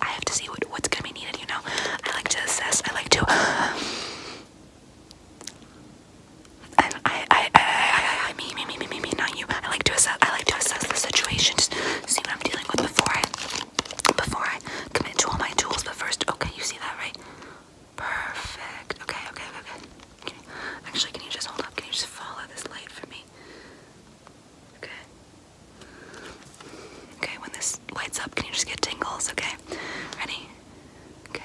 I have to see what, what's gonna be needed, you know? I like to assess, I like to and I I I I I me me me me me me not you. I like to assess I like to assess the situation, just see what I'm dealing with before I before I commit to all my tools, but first okay, you see that right? Perfect. Okay, okay, okay, okay. Actually, can you just hold up? Can you just follow this light for me? Okay. Okay, when this lights up, can you just get tingles? Okay, ready? Okay,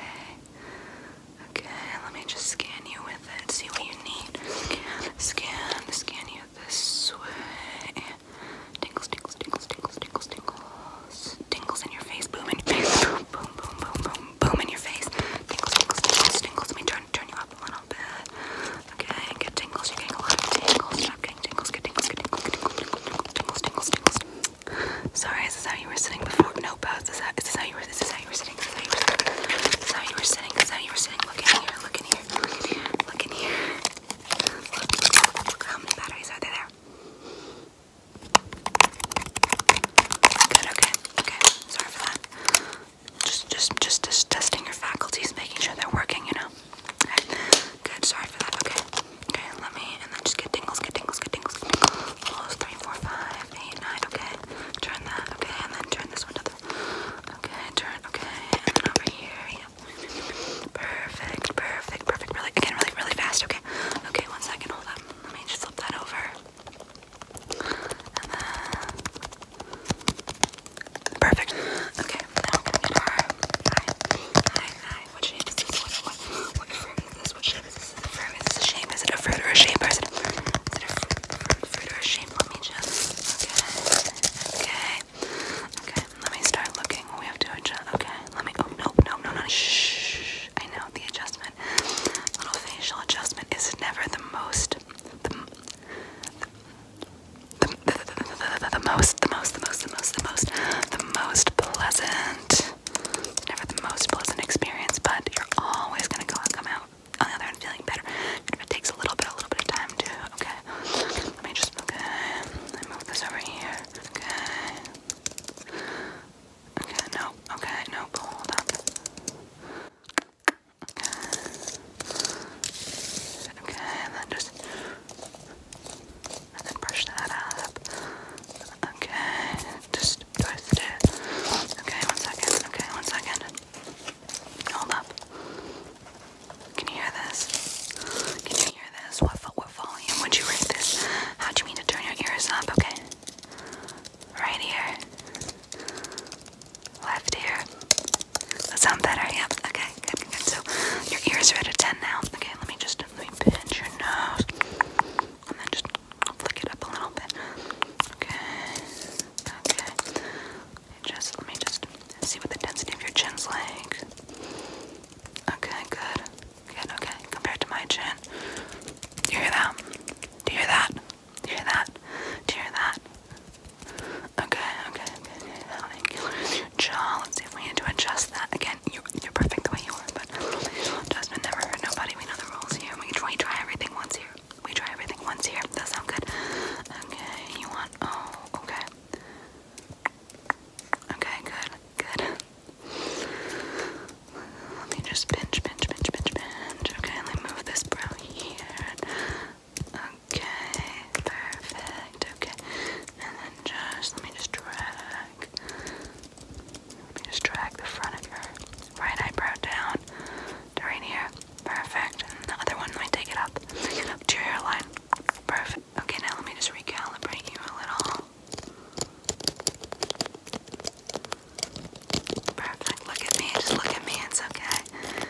okay, let me just scan you with it, see what you need. Scan, scan you this way. Tingles, tingles, tingles, tingles, tingles, tingles. Tingles in your face, boom in your face, boom, boom, boom, boom, boom, in your face. Tingles, tingles, tingles, tingles. Let me turn, turn you up a little bit. Okay, get tingles. You're getting a lot of tingles getting tingles, get tingles, get tingles, get tingles, tingles, tingles, tingles, tingles. Sorry, is this how you were sitting before? No, pause. Is, is this how you were? Is this how you were sitting? Is this how you were sitting? Is this how you were sitting? Is this how you were sitting? Look in here. Look in here. Look in here. Look in here. Look, look, look, look, look. How many batteries are there? Good. Okay. Okay. Sorry for that. Just, just, just, just testing your faculties, making sure they're working. You know. Okay. Good. Sorry for that. Okay. Okay. Let me and then just get tingles. Get tingles. Get tingles. Get Three, four, five, eight, nine. Okay. Turn that. Okay. And then turn this one to the. Okay. Turn. Okay. And then over here. Yep. Perfect. Perfect. Perfect. Really. Again. Really. Really fast. Okay. Okay. One second. Hold up. Let me just flip that over. Perfect. Okay, now I'm going What shape is this? What, what, is this? What shape is this? Is it a fruit? or a shape? is it a fruit, or a shape? Let me just. Okay. Okay. Okay. Let me start looking. We have to adjust. Okay. Let me. Oh, no, no, no, no. Shh. I know the adjustment. Little facial adjustment is never the most the, the, the, the, the most, the most, the most, the most, the most, the most pleasant. It's never the most pleasant experience, but you're always gonna go come out on the other end feeling better. Even if it takes a little bit, a little bit of time to. Okay, let me just. Okay, let me move this over here. Okay. Okay, no. Okay, no. Hold up. Okay. Okay, and then just. And then brush that up. Okay, just twist it. Okay, one second. Okay, one second. Hold up. Can you hear this? Can you hear this? What, what volume would you rate this? How do you mean to turn your ears up? Okay. Right ear. Left ear that sound better? Yeah. Okay. Good. So your ears are at a ten now. Okay. Let me just let me pinch your nose and then just flick it up a little bit. Okay. Okay. Just let me just see what the density of your chin's like. Okay. Good. Good. Okay. Compared to my chin. Do you hear that? Do you hear that? Do you hear that? Do you hear that? Okay, okay, okay, okay. you jaw. Let's see if we need to adjust that. Again, you, are perfect the way you are, but Jasmine never nobody. We know the rules here. We try, everything once here. We try everything once here. that sound good? Okay, you want, oh, okay. Okay, good, good. Let me just pinch, pinch, pinch, pinch, pinch. Okay, let me move this brown here. Okay, perfect. Okay, and then just let me just drag. Let me just drag the front of your right eyebrow down right here. Perfect. And the other one, let me take it up. Take line. Perfect. Okay, now let me just recalibrate you a little. Perfect. Look at me. Just look at me. It's okay.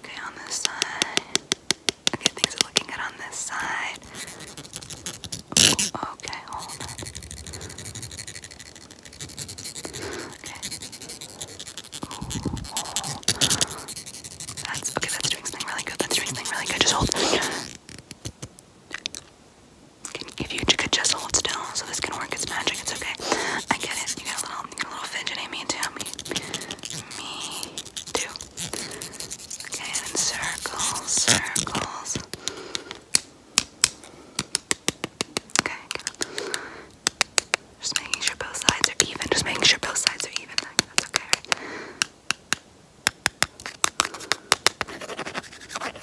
Okay, on this side. Okay, things are looking good on this side. Ooh, okay, hold Okay. Ooh, oh. That's okay, that's doing something really good. That's doing something really good. Just hold. If you could just hold still so this can work, it's magic, it's okay. I get it. You got a little a little fidgety, me too, me, too. Okay, and circles, circles. Okay, just making sure both sides are even. Just making sure both sides are even. that's okay. Right?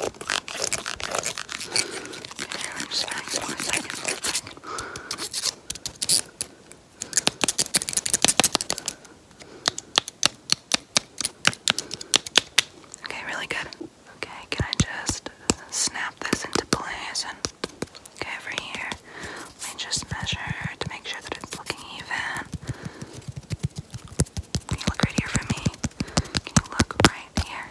Okay, I'm just Okay, really good. Okay, can I just snap this into place and okay over here? Let just measure to make sure that it's looking even. Can you look right here for me? Can you look right here?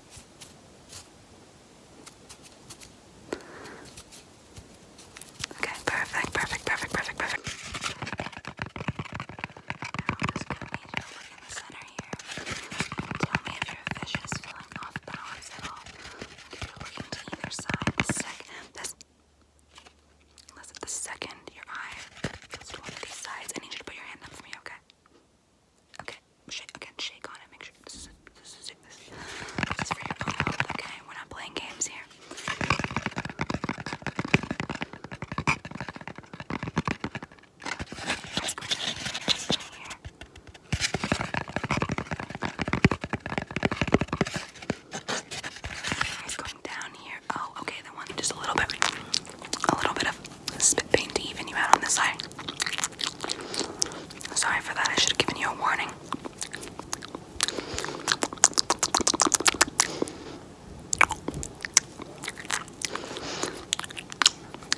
Okay, perfect, perfect, perfect, perfect, perfect. Now i look in either side, the second, this, unless at the second your eye goes to one of these sides, I need you to put your hand up for me, okay? Okay, shake again, shake on it. Make sure this is this is this is, this is for your own health. Okay, we're not playing games here. Let's go check here. It's going down here. Oh, okay, the one just a little bit, a little bit of this is a bit painful, even you out on this side. Sorry for that, I should have given you a warning.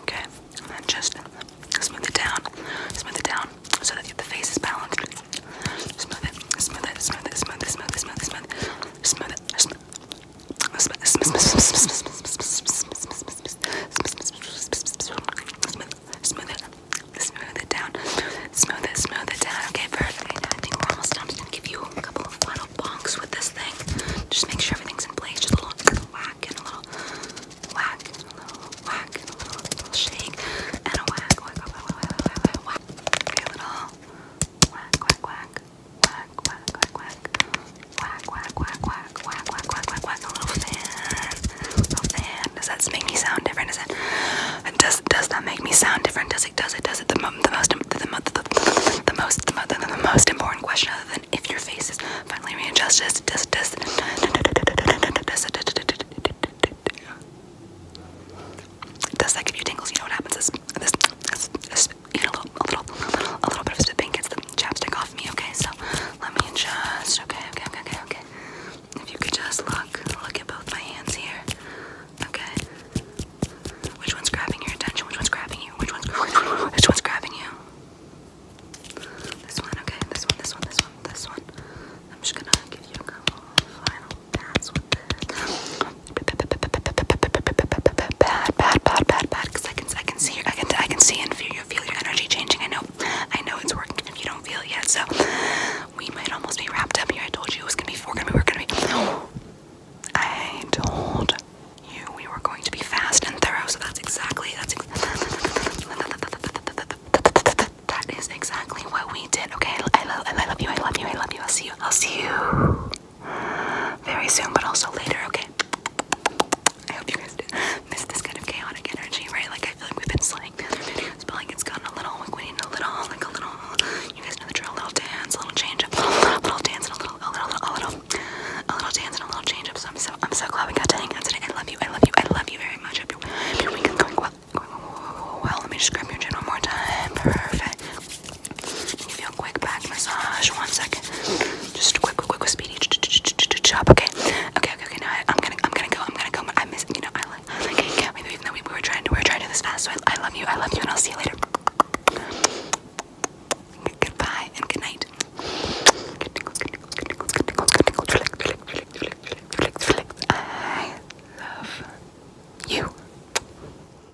Okay, just smooth it down, smooth it down so that the face is balanced. Smooth it, smooth it, smooth it, smooth it, smooth it, smooth it, smooth it, smooth it, Smooth it. Smooth it down. Smooth it, smooth it down. Okay, perfect. I think we're almost done. I'm just gonna give you a couple of final bonks with this thing. Just make sure everything's in place. Just a little, a little whack and a little whack and a little whack and a little, a little shake and a whack, whack, whack, whack, whack, whack, whack. Okay, a little whack, whack, whack. Quack, quack, quack, quack. Quack, quack, quack, quack, quack, quack, quack, quack, A little fan. A little fan. Does that make me sound different? Is it? Does does that make me sound different? Does it? Does it? Does it? The, the most, the, the, the, the, the most, the, most important question, other than if your face is finally readjusted, does does does does that give you tingles? You know what happens this, this, this even a little, a little, a little, a little bit of spitting gets the chapstick off me. Okay, so let me just. Okay, okay, okay, okay, okay. If you could just look, look at both my hands here. Okay. Which one's grabbing your attention? Which one's grabbing you? Which one's? Which one's grabbing you? This one, okay. This one, this one, this one, this one. I'm just gonna give you a couple final pats with it bad, bad, bad, bad, bad. I can, I can see, I can, I can see and feel your, feel your energy changing. I know, I know it's working. If you don't feel yet, so we might almost be wrapped up here. I told you it was gonna be four. we were gonna be. No, I told you we were going to be fast and thorough. So that's exactly that's. that is exactly what we did. Okay, I love, I love you. I love you. I love you. I'll see you. I'll see you very soon, but also later, okay? I hope you guys do miss this kind of chaotic energy, right? Like I feel like we've been slaying the other videos, but like it's gotten a little like we need a little, like a little you guys know the drill, a little dance, a little change up, a little, dance and a little a little a little a little dance and a little change up. So I'm so I'm so glad we got to hang out today. I love you, I love you, I love you very much. I hope your, your weekend's going well. Going well, let me just grab your chin one more time. Perfect. Give you a quick back massage. One second. Just a quick, quick, quick, speedy ch ch ch ch chop. Okay. Okay. Okay. Okay. Now I, I'm gonna, I'm gonna go. I'm gonna go. I miss. You know, I like. I like. I can't believe even though we, we were trying to, we were trying to do this fast. So I, I love you. I love you, and I'll see you later. Goodbye and good night. Good tingles, good tingles, good tingles, good tingles, good tingles. Relax, relax, relax, relax, relax, relax. I love you.